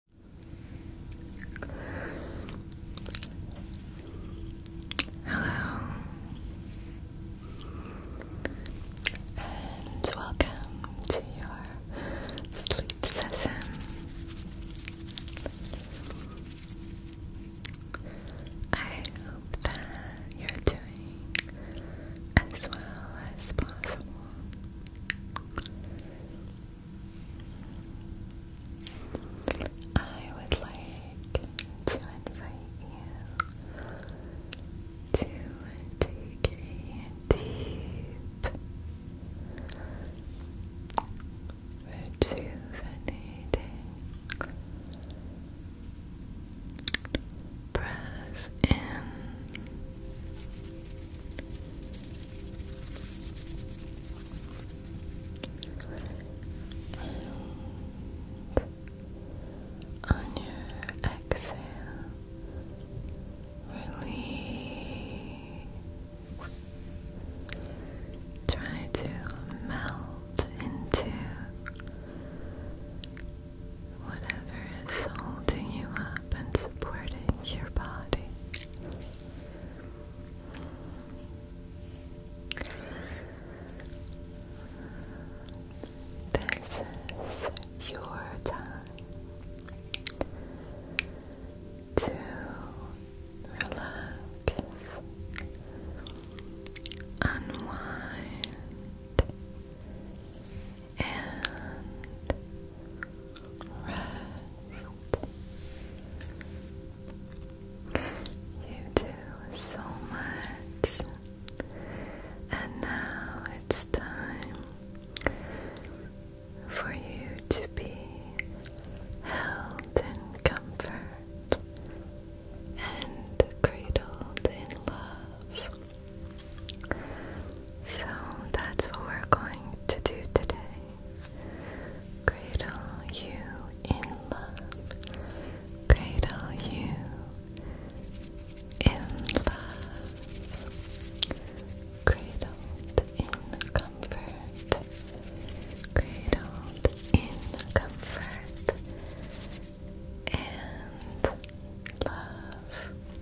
Hello and welcome to your sleep session. I hope that you're doing as well as possible. I would like to invite you to take a deep, rejuvenating breath in. And on your exhale, release. Try to melt into whatever is holding you up and supporting your body. This is your time to relax, unwind, and you do so much. And now it's time for you to be held in comfort and cradled in love. So that's what we're going to do today. Cradle you in love. Cradle you in love. Cradled in comfort. Cradled in comfort. And love.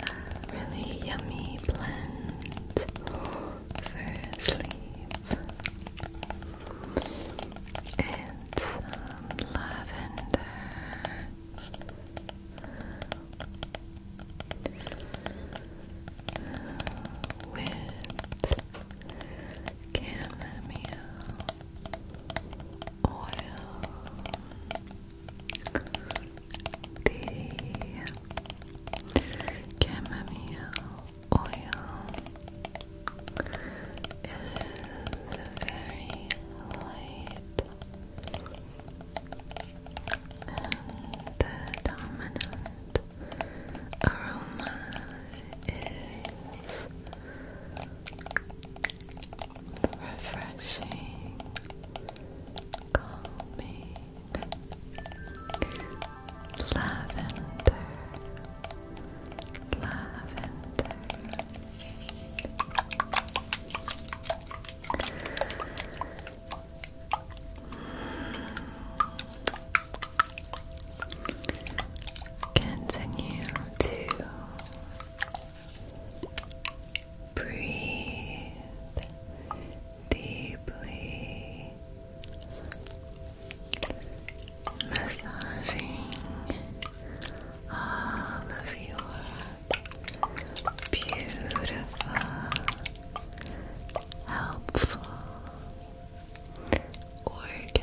a really yummy blend for sleep. It's lavender. Uh, with chamomile oil the chamomile oil is very light and the dominant aroma is refreshing, calming, lavender, lavender. Continue to Breathe deeply, massaging all of your beautiful, helpful organs.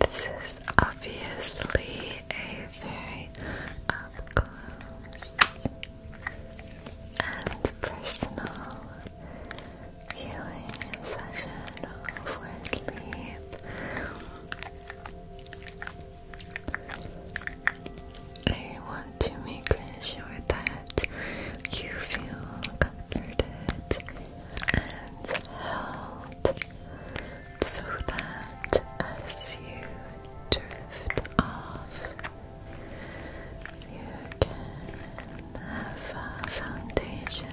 This is obviously a very up close and personal healing session for sleep. I want to make sure that you feel comforted and held so that as you drift off, you can have a foundation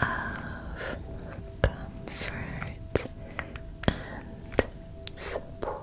of comfort and support.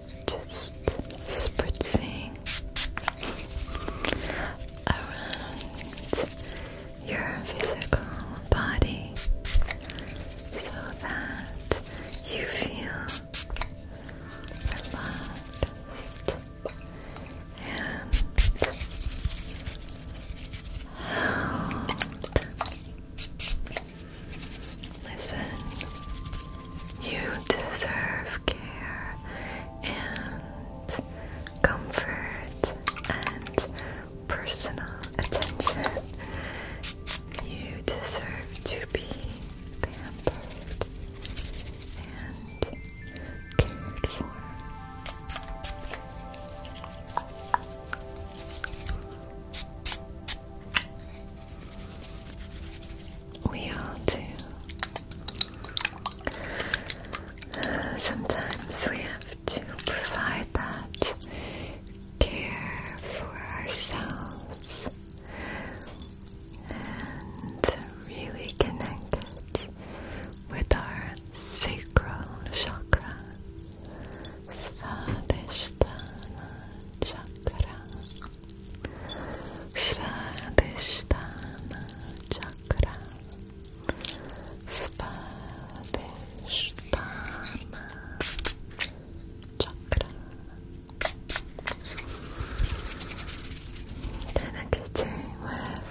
just spritzing around your physical body so that you feel relaxed and held. You deserve care and comfort and personal attention. You deserve to be pampered and cared for. We are too. sometimes we have to provide that care for ourselves and really connect with our sacral chakra, Svadhisthana chakra. Svadhisthana Chakra Svadhisthana Chakra Dedicating with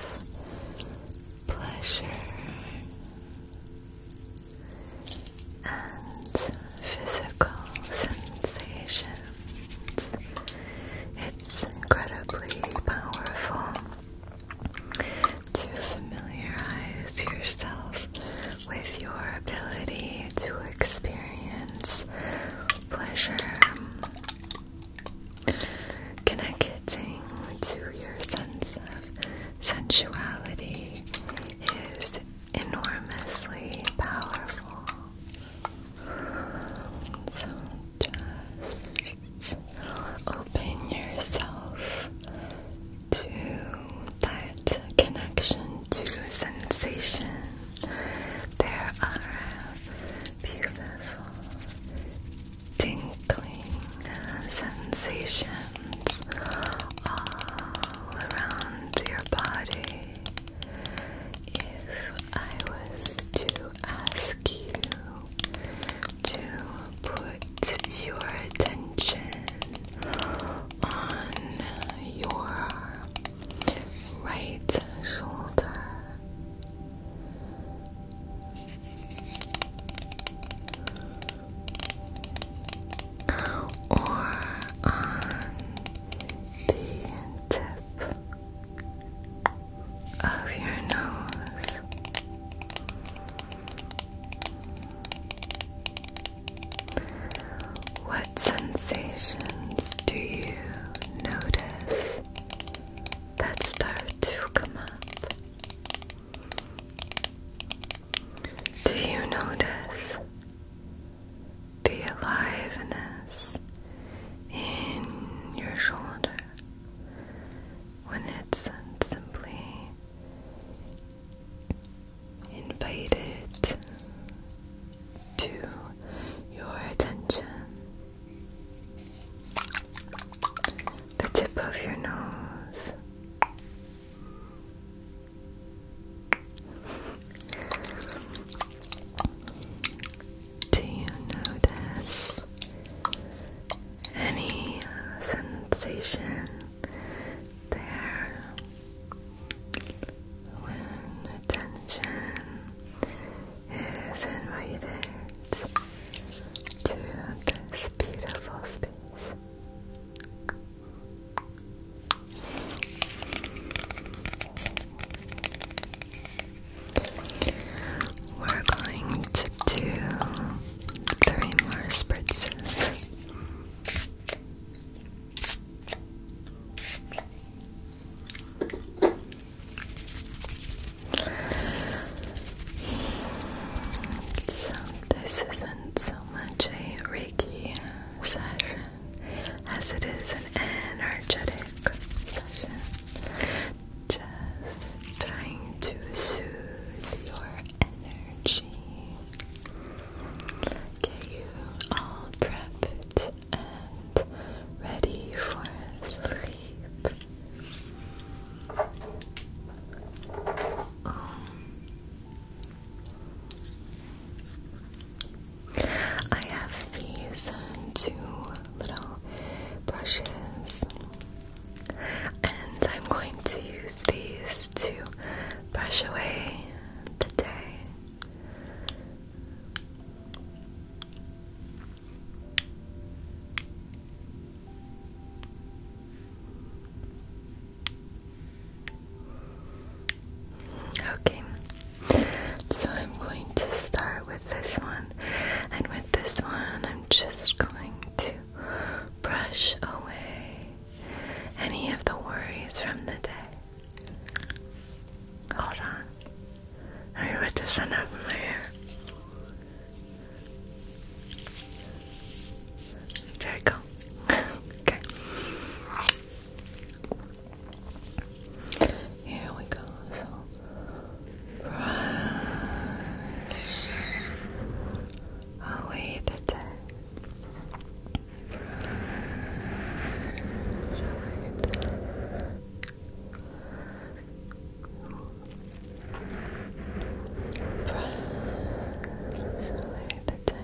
pleasure and physical sensations it's incredibly powerful to familiarize yourself with your ability to experience pleasure, connecting to your sense of sensuality is enormously powerful just open yourself to that connection to sensation. There are beautiful tinkling sensations all around your body if I was to ask you to put your attention on your right shoulder. Or on the of your nose. What sensations do you notice that start to come up? Do you notice the aliveness in your shoulder when it's simply invited to your attention. The tip of your nose. Do you notice any uh, sensation there when attention is invited to this beautiful space? We're going to do three more spritzes. So, this isn't so much a Reiki session as it is an energetic session. Just trying to soothe your energy. Get you all prepped and ready for sleep. Um, I have these two little brushes, and I'm going to use these to brush away the day. Okay, so I'm going to start with this one, and with this one, I'm just going to brush away any of the worries from the day. Hold on, let me put this one up my hair. There you go. okay. Here we go. brush away the dead. Brush away the day.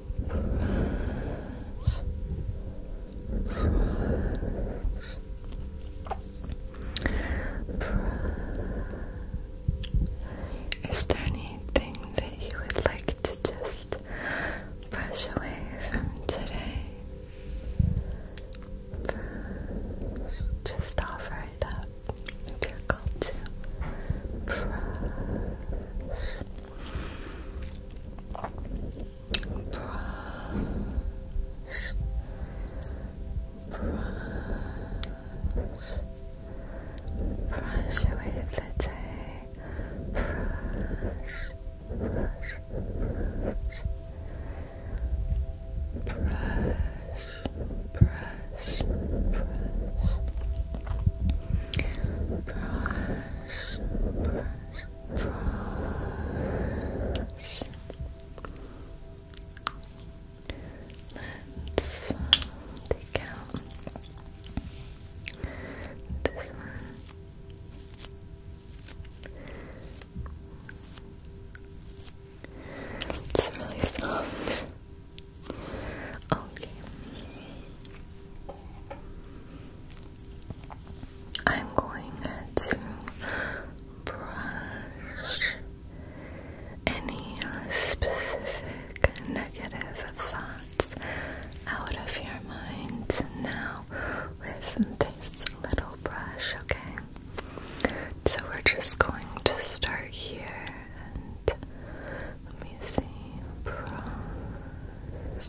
Is there anything that you would like to just brush away from today? Just offer it up if you're called to. Brush brush, brush, brush away the day, brush, brush, brush, brush, brush, brush, brush brush, brush, brush. Let's take out this one. It's really soft. Okay. I'm going to brush any uh, specific negative thoughts out of your mind now with this little brush, okay? So we're just going to start here and let me see. Brush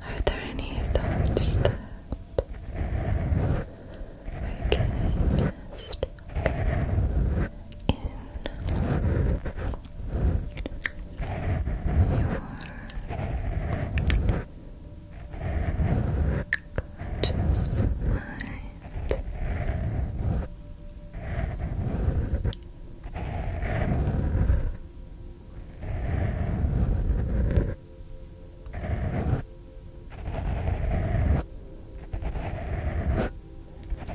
are there any thoughts that we in your conscious mind?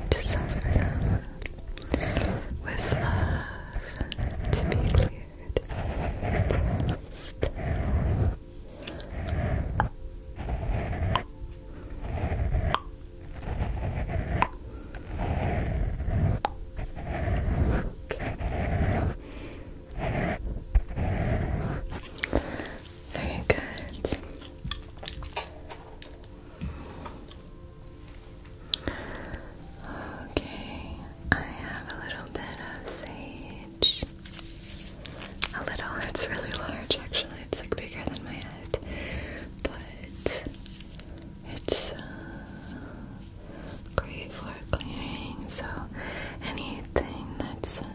To suffer them with love and to be cleared. Breathe. Very good. Okay, I have a little bit of sage. A little, it's really large actually, it's like bigger than my head. But it's uh, great for clearing, so anything that's uh,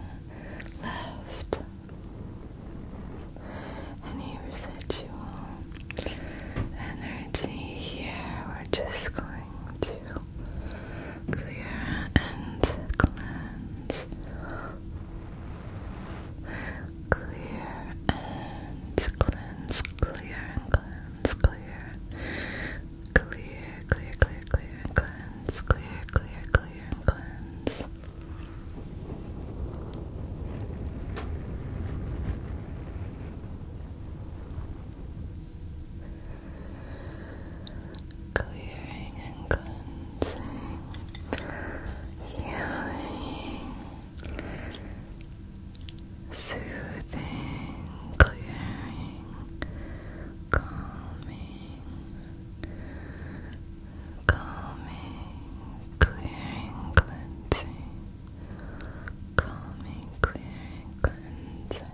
left, any residual energy here, we're just going to clear and cleanse. Clear and cleanse, clear and clear, clear, clear, clear, clear, cleanse, clear, clear, clear, cleanse. Clearing and cleansing, healing, Soothing, clearing, calming, calming, clearing, cleansing, calming, clearing, cleansing,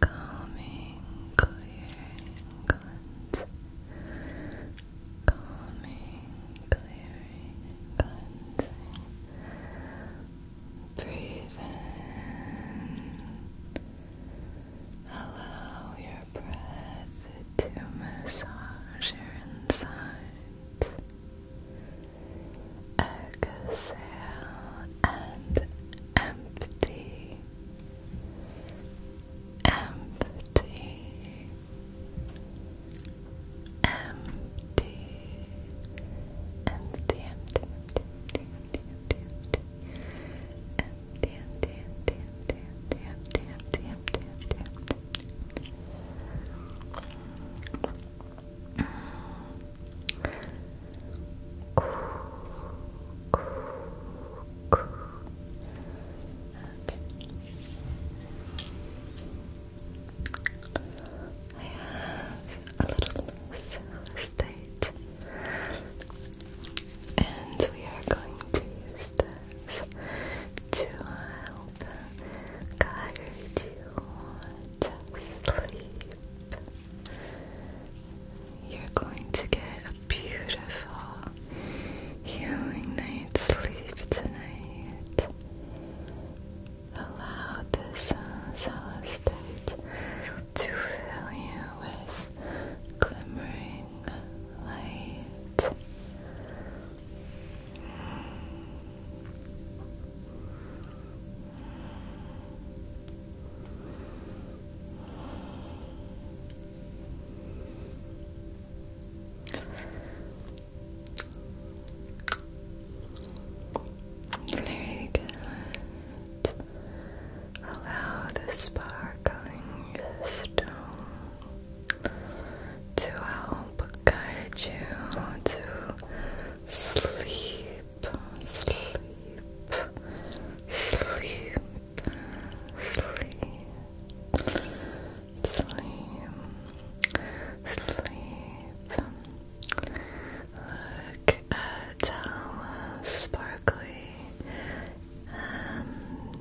calming, clearing, cleansing, calming, clearing, cleansing. Breathe in. Allow your breath to massage your insides. Exhale and empty. Empty, empty, empty, empty, empty, empty, empty, empty, empty, empty, empty, empty, empty, empty, empty, empty, Okay. I have a little estate, and we are going to use this to help guide you to sleep. You're going to get a beautiful, healing night's sleep tonight. Allow the sun's hollow to fill you with glimmering light. Very good. Allow the sparkling stone to help guide you to sleep, sleep, sleep, sleep sleep, sleep. Look at how sparkly and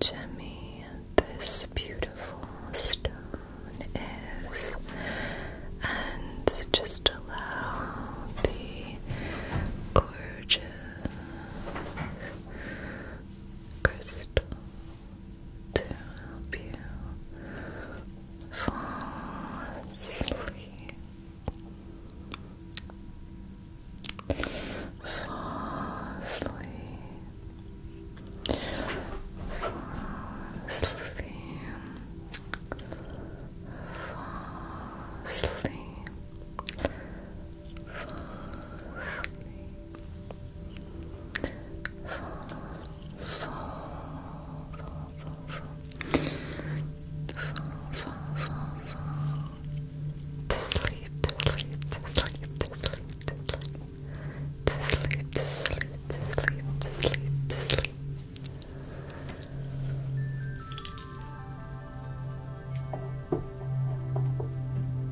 Jemmy, this beautiful stone is, and just allow the gorgeous crystals to help you fall asleep. Fall asleep. Fall asleep. Fall asleep to sleep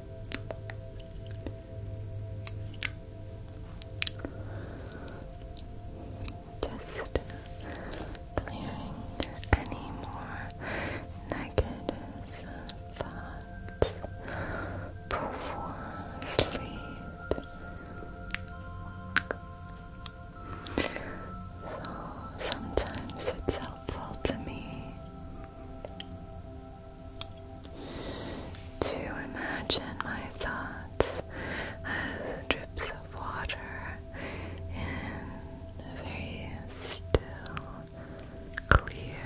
Just clearing any more negative thoughts before sleep. So sometimes it's helpful to me to imagine my thoughts as drips of water in a very still, clear,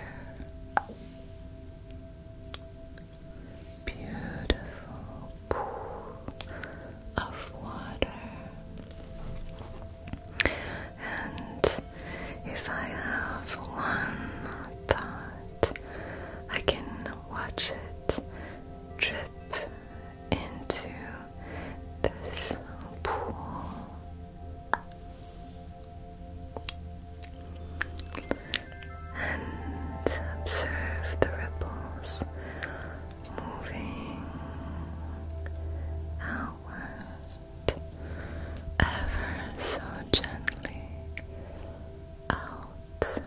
beautiful pool of water and if I have one thought, I can watch it drip into this pool. And observe the ripples moving outward ever so gently outward.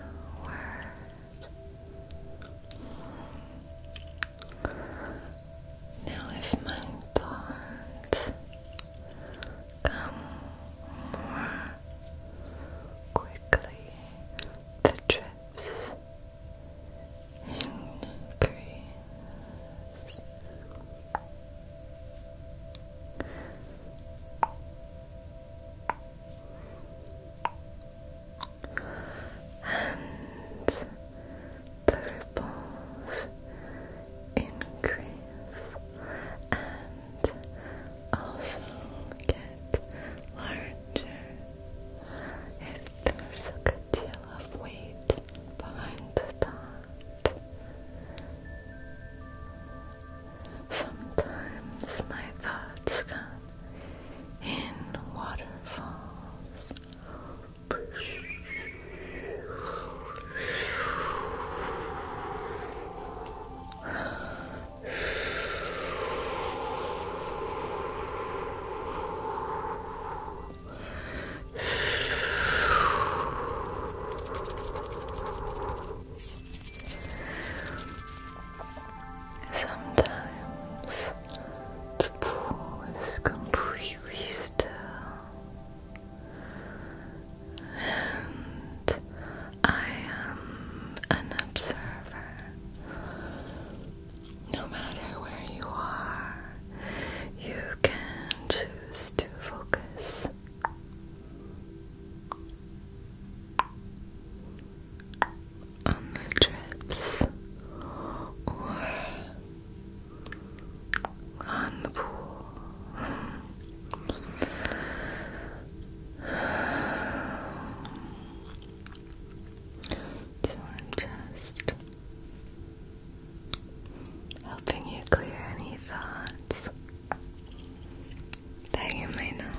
Now, if my thoughts come more quickly, the trips increase this. And the ripples increase and also get larger if there's a good deal of weight behind the top. Sometimes my thoughts go in waterfalls. Sometimes the pool is completely still, and I am an observer. No matter where you are, you can choose to focus. On the trips on the pool. so I'm just helping you clear any thoughts that you may not want.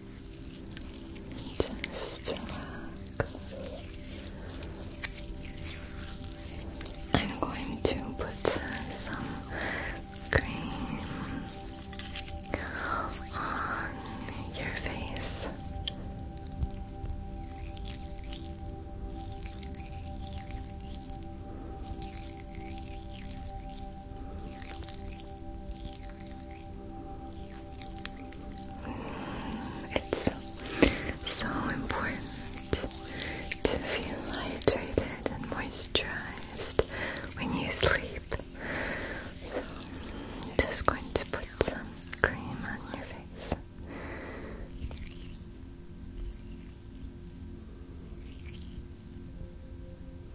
Just relax. I'm going to put some cream on your face. It's so important to feel hydrated and moisturized when you sleep. So just going to put some cream on your face.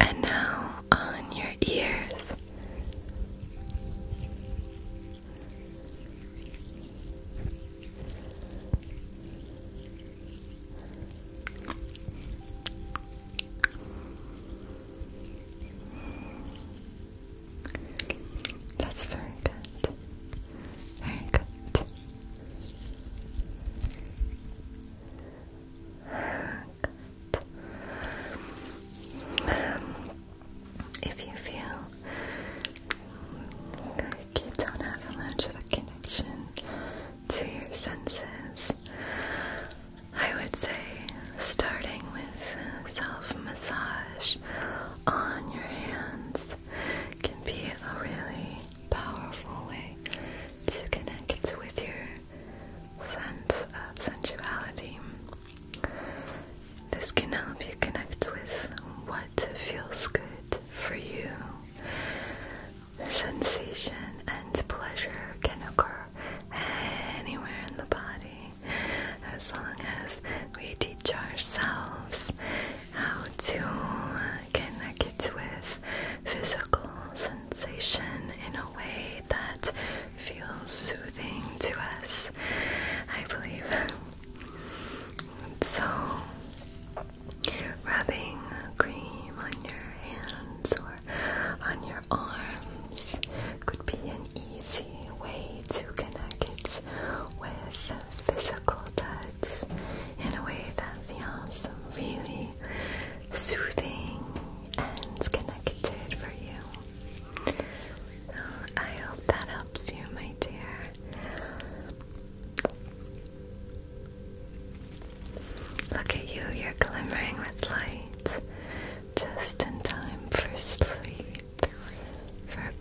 And now on your ears. That's very good. Very good. If you feel like you don't have much of connection to your senses, I would say starting with self massage on your hands can be a really powerful way to connect with your sense of sensuality. This can help you connect with what feels good for you. Sensation and pleasure can occur anywhere in the body as long as we teach ourselves how to uh, connect with physical sensation in a way that feels soothing to us, I believe. So, rubbing cream on your hands or on your arms could be an easy way to connect it with physical touch in a way that feels really soothing and connected for you. I hope that helps you, my dear. Look at you, you're glimmering with light. Just in time for sleep,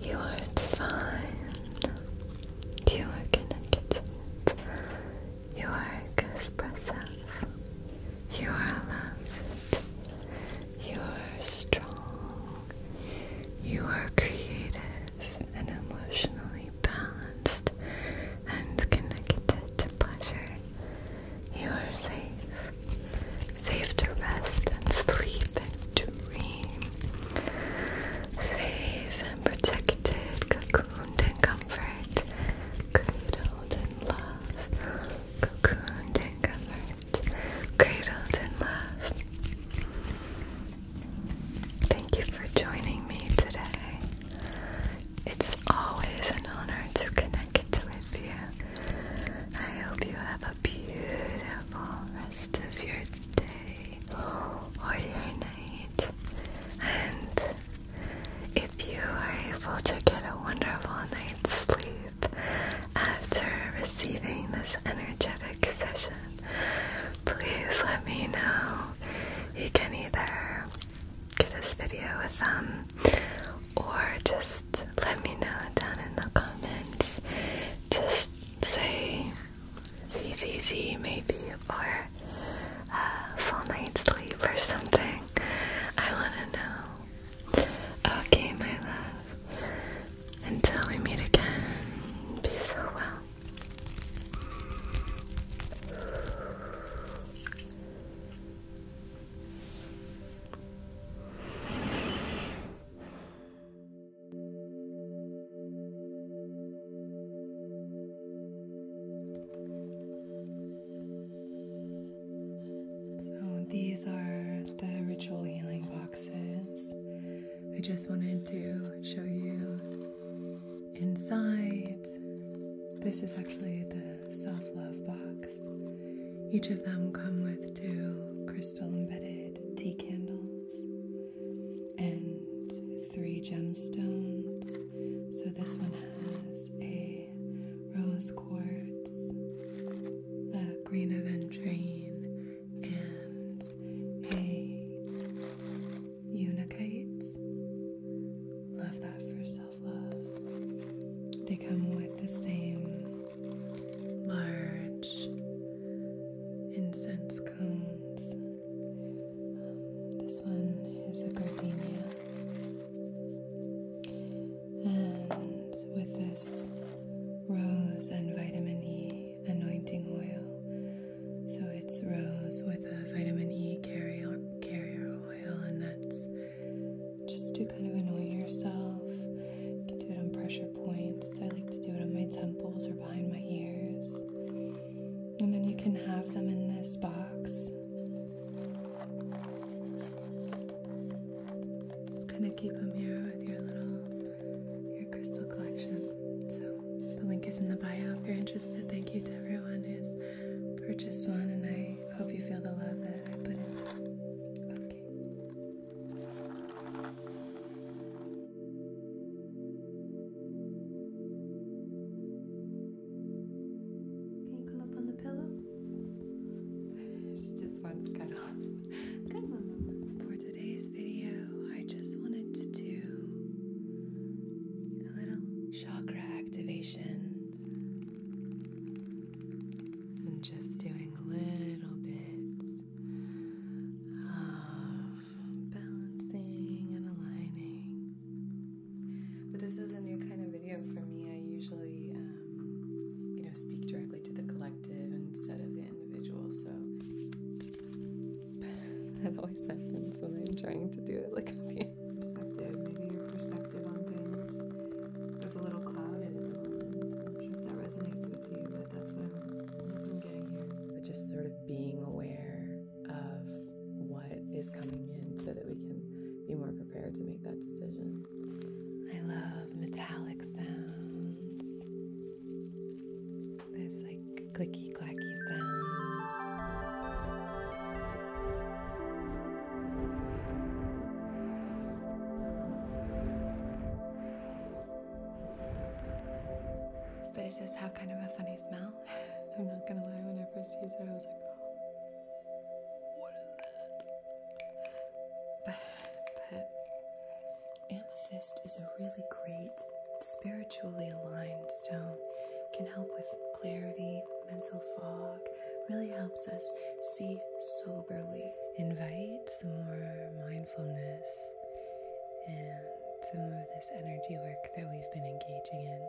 you are fine. You are connected. You are expressive. You are loved. You are strong. You are creative and emotionally balanced and connected to pleasure. You are safe. Safe to rest and sleep and safe and protected, cocooned in comfort, cradled in love, cocooned in comfort, cradled in love. Thank you for joining me today. It's always an honor to connect with you. I hope you have a beautiful rest of your day or your night. And if you are able to get a wonderful night's sleep after receiving this energetic session, please let me know. You can either give this video a thumb or just let me know down in the comments. Just say CCC maybe, or a uh, full night's sleep or something. I want to know. Okay, my love. Until we meet again, be so well. So these are the ritual healing boxes. I just wanted to show you inside. This is actually the self love box. Each of them come with two crystal embedded tea candles and three gemstones. So this one has a rose quartz, a green aventurine, and a unikite. Love that for self love. They come with the same large incense cones. this one is a gardenia. And with this rose and vitamin E anointing oil. So it's rose with a vitamin E carrier oil and that's just to kind of anoint yourself. do it on pressure points wrists. I like to do it on my temples or behind my ears. And then you can have them in this box. Just kind of keep them here with your little your crystal collection. So the link is in the bio if you're interested. Thank you to everyone who's purchased one, and I hope you feel the love that I put into it. Okay. Can you curl up on the pillow? she just wants cuddles. Good one. For today's video, I just wanted to do a little chakra activation. And just doing a little bit of uh, balancing and aligning. But this is a new kind of video for me. I usually, um, you know, speak directly to the collective instead of the individual, so that always happens when I'm trying to do it like a being. Perspective, maybe your perspective on things is a little clouded at the moment. I'm sure that resonates with you, but but just sort of being aware of what is coming in so that we can be more prepared to make that decision. I love metallic sounds. There's like clicky clacky sounds. But it does have kind of a funny smell. I'm not gonna lie, when I first used it, I was like, oh, what is that? But, amethyst is a really great spiritually aligned stone. can help with clarity, mental fog, really helps us see soberly. Invite some more mindfulness and some of this energy work that we've been engaging in.